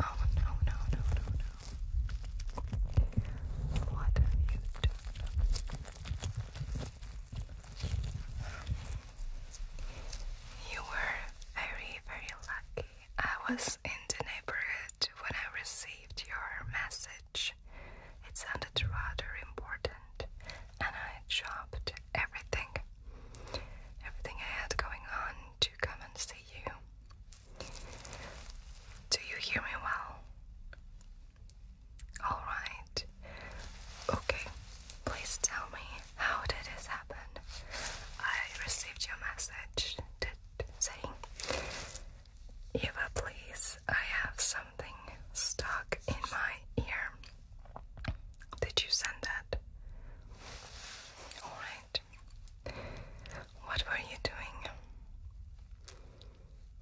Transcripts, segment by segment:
Oh no no no no no! What have you done? You were very very lucky. I was in the neighborhood when I received your message. It sounded rather important, and I dropped everything, everything I had going on to come and see you. Do you hear me well? Alright. Okay, please tell me how did this happen? I received your message that saying, Eva, please, I have something stuck in my ear. Did you send that? Alright. What were you doing?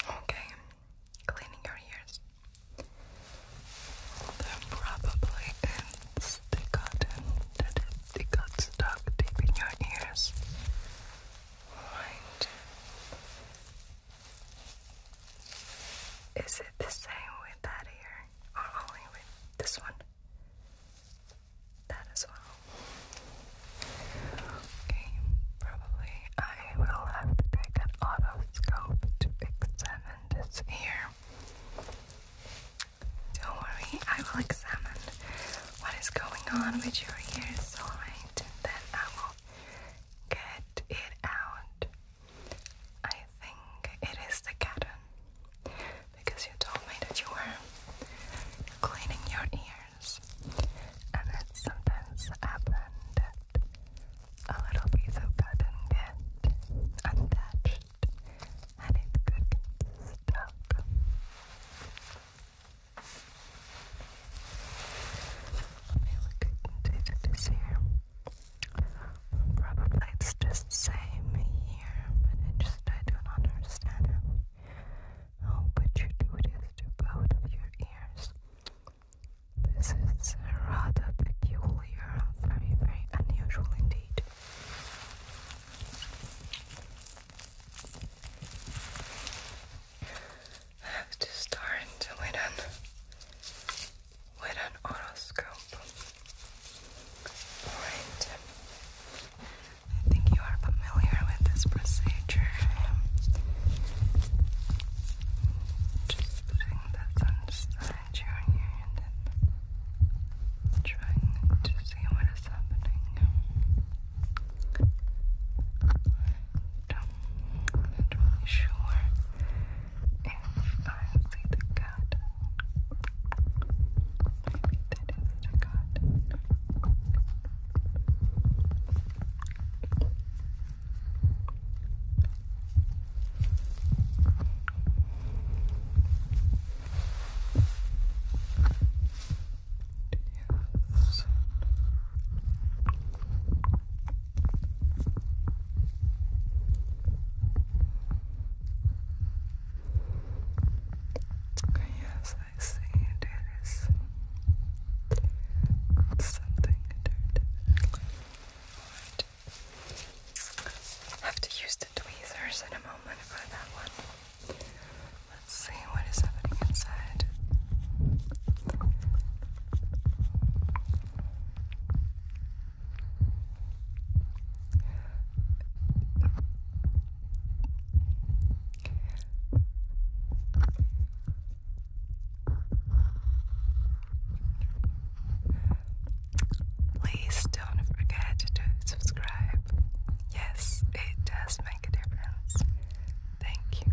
Okay, cleaning your ears. they probably in stick cotton that it got stuck deep in your ears. Right. Is it the same with that ear or only with this one? that as well. Okay, probably I will have to take an otoscope to examine this ear. Don't worry, I will examine what is going on with your ears, alright? then I will get it out. I think it is the cat because you told me that you were cleaning your ears, and it sometimes happens that a little piece of cotton gets untouched and it could get stuck. I look into this here. Probably it's just same here, but just I don't understand how how you do this to both of your ears? This is rather peculiar, very very unusual indeed. I have to start with an with an horoscope. I think you are familiar with this procedure. Just putting that inside your ear and then trying to see what is happening. i not really sure if I see the cat Maybe that is what I got. Yes. Yes. Yes, I see it is something dirty. Have to use the tweezers in a moment for that one. Let's see what is happening inside. Please don't forget to subscribe. Yes, it does make a difference. Thank you.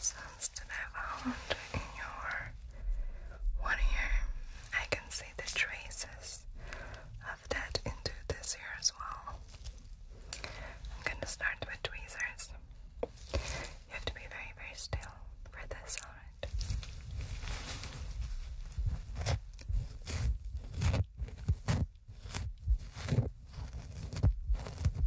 sounds that I found in your one ear. I can see the traces of that into this ear as well. I'm gonna start with tweezers. You have to be very, very still for this, alright?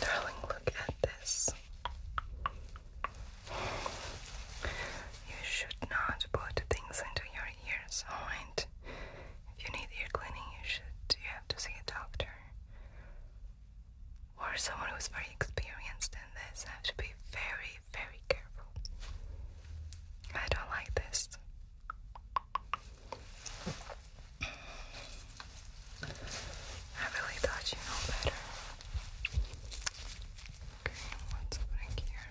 Darling, look at this. You should not put things into your ears, oh, alright? If you need ear cleaning, you should you have to see a doctor. Or someone who's very experienced in this. I have to be very, very careful. I don't like this. I really thought you know better. Okay, what's happening here?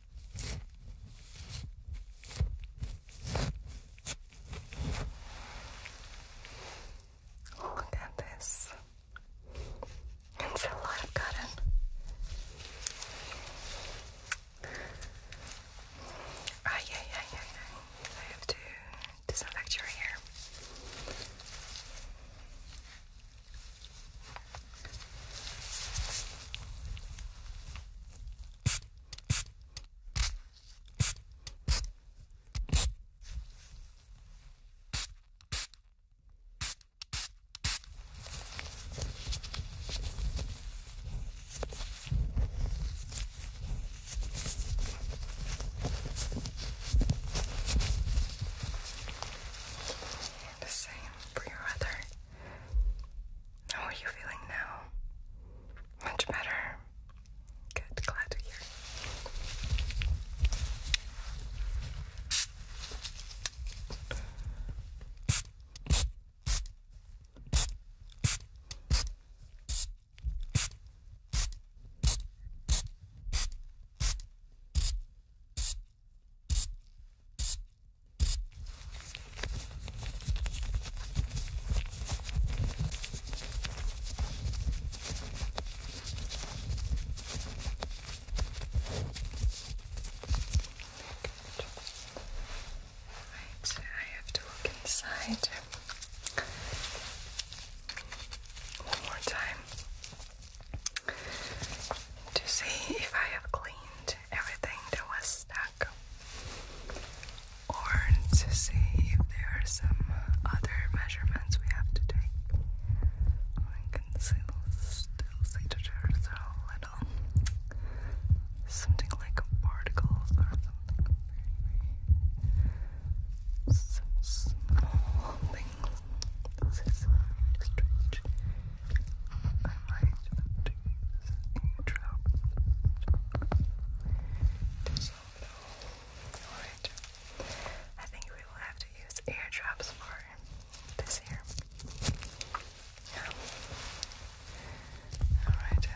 Look at this. It's a lot of cotton. Ah, yeah, yeah, yeah, yeah. I have to disinfect your hair. The same for your other how are you feeling now? Much better. Good, glad to hear. Alright, I have to look inside one more time to see if I have cleaned everything that was stuck or to see if there are some other measurements we have to take. I can still, still see that there's little something like particles or something very, small things. This is strange. I alright. I think we will have to use eardrops for this here. Alright,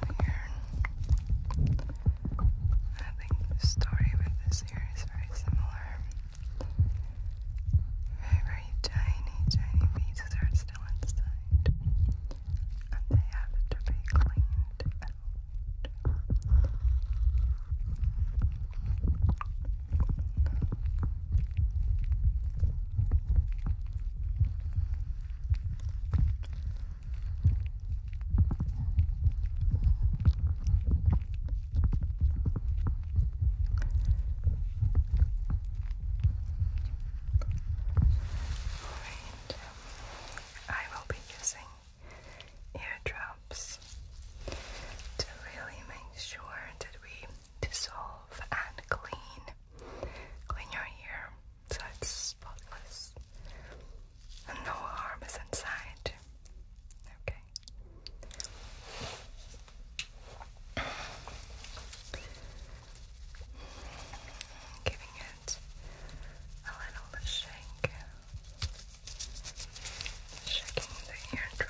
I think the story with this here is very similar. Very, very tiny, tiny pieces are still inside. And they have to be cleaned I will be using ear drops to really make sure that we dissolve and clean, clean your ear so it's spotless and no harm is inside. Okay. Giving it a little shake, shaking the eardrum.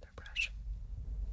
their brush. All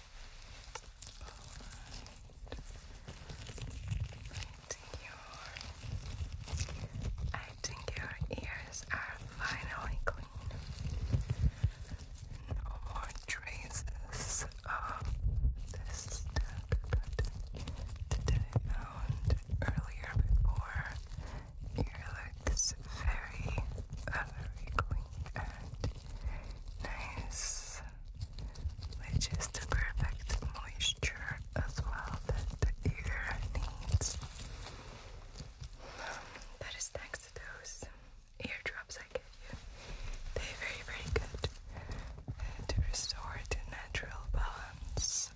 I think your ears are finally clean. No more traces of this stuck that I found earlier before your this very, very clean and nice, which is the perfect moisture as well that the ear needs. that is thanks to those eardrops I gave you. They're very, very good to restore the natural balance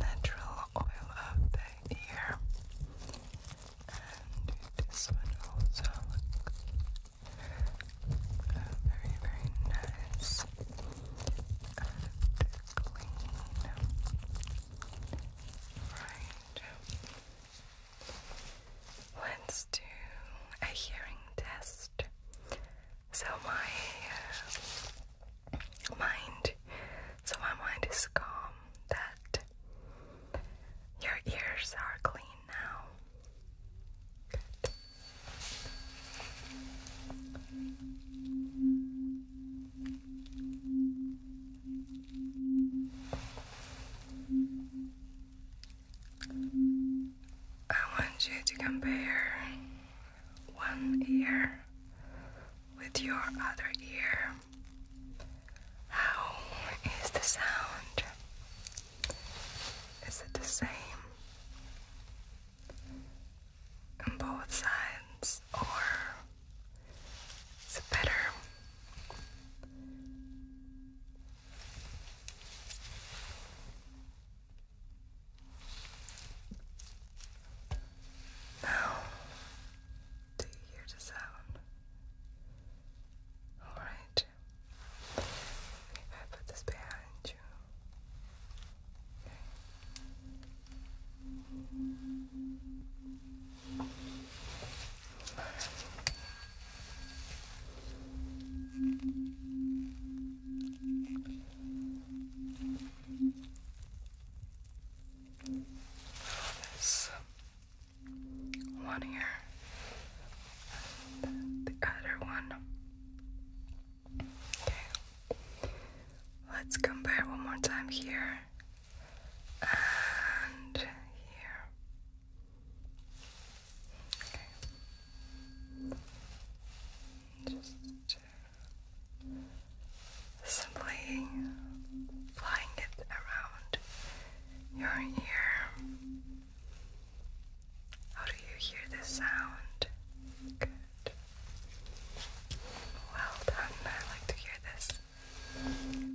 natural oil of the ear. And this one also looks very, very nice and clean. Right. Let's do a hearing test. So my uh, mind, so my mind is calm. That your ears are clean now. I want you to compare one ear with your other ear. How is the sound? Is it the same on both sides, or is it better? No, do you hear the sound? Alright. If I put this behind you. This one here, and the other one. Okay, let's compare one more time here and here. Okay. Just simply flying it around your ear. How do you hear this sound? Good. Well done. I like to hear this. Flying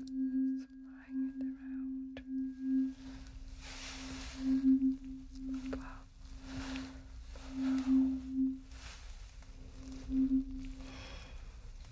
it around. Blow.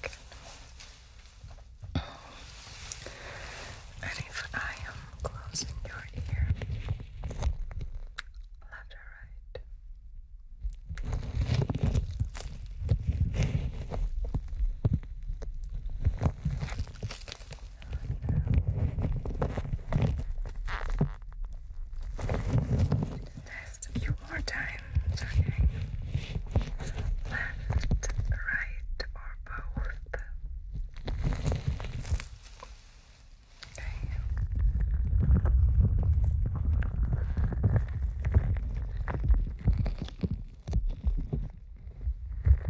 Good. And if I am closing your ear, left or right. Just a few more times, okay? Left, right, or both.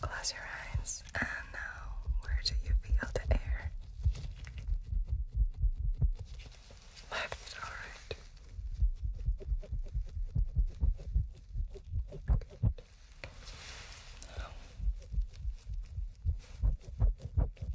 Close your eyes, and now where do you feel the air? left, alright. Now. Good.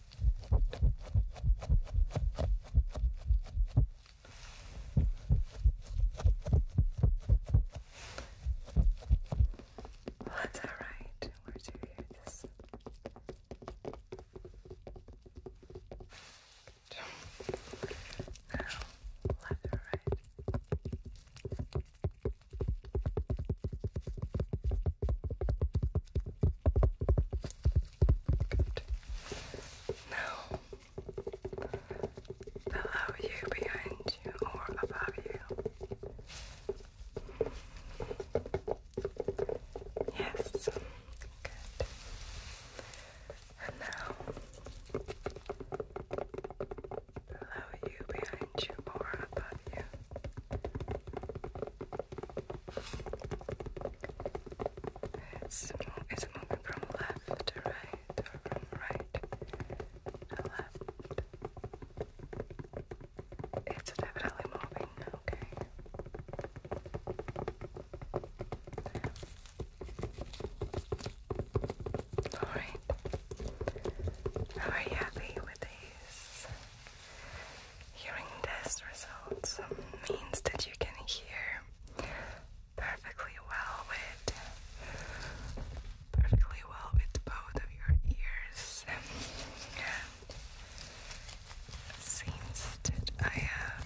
that's all right. Where do you hear this? Now, left or right? Good. Now, below you, behind you, or above you. Yes. And now, below you, behind you, or above you. It's, moving from left to right from right to left. It's definitely moving, okay. Alright. are you happy with these? Hearing test results means that you can hear perfectly well with perfectly well with both of your ears. seems that I have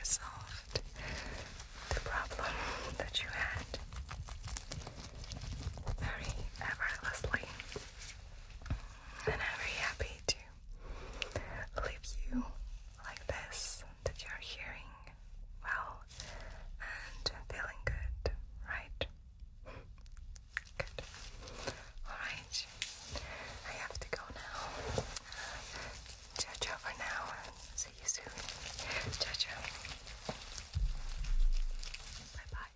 resolved the problem that you had very effortlessly. And very happy to to leave you like this that you're hearing well and feeling good, right? Good. Alright, I have to go now. Ciao, uh, for now, see you soon. Ciao, Bye bye.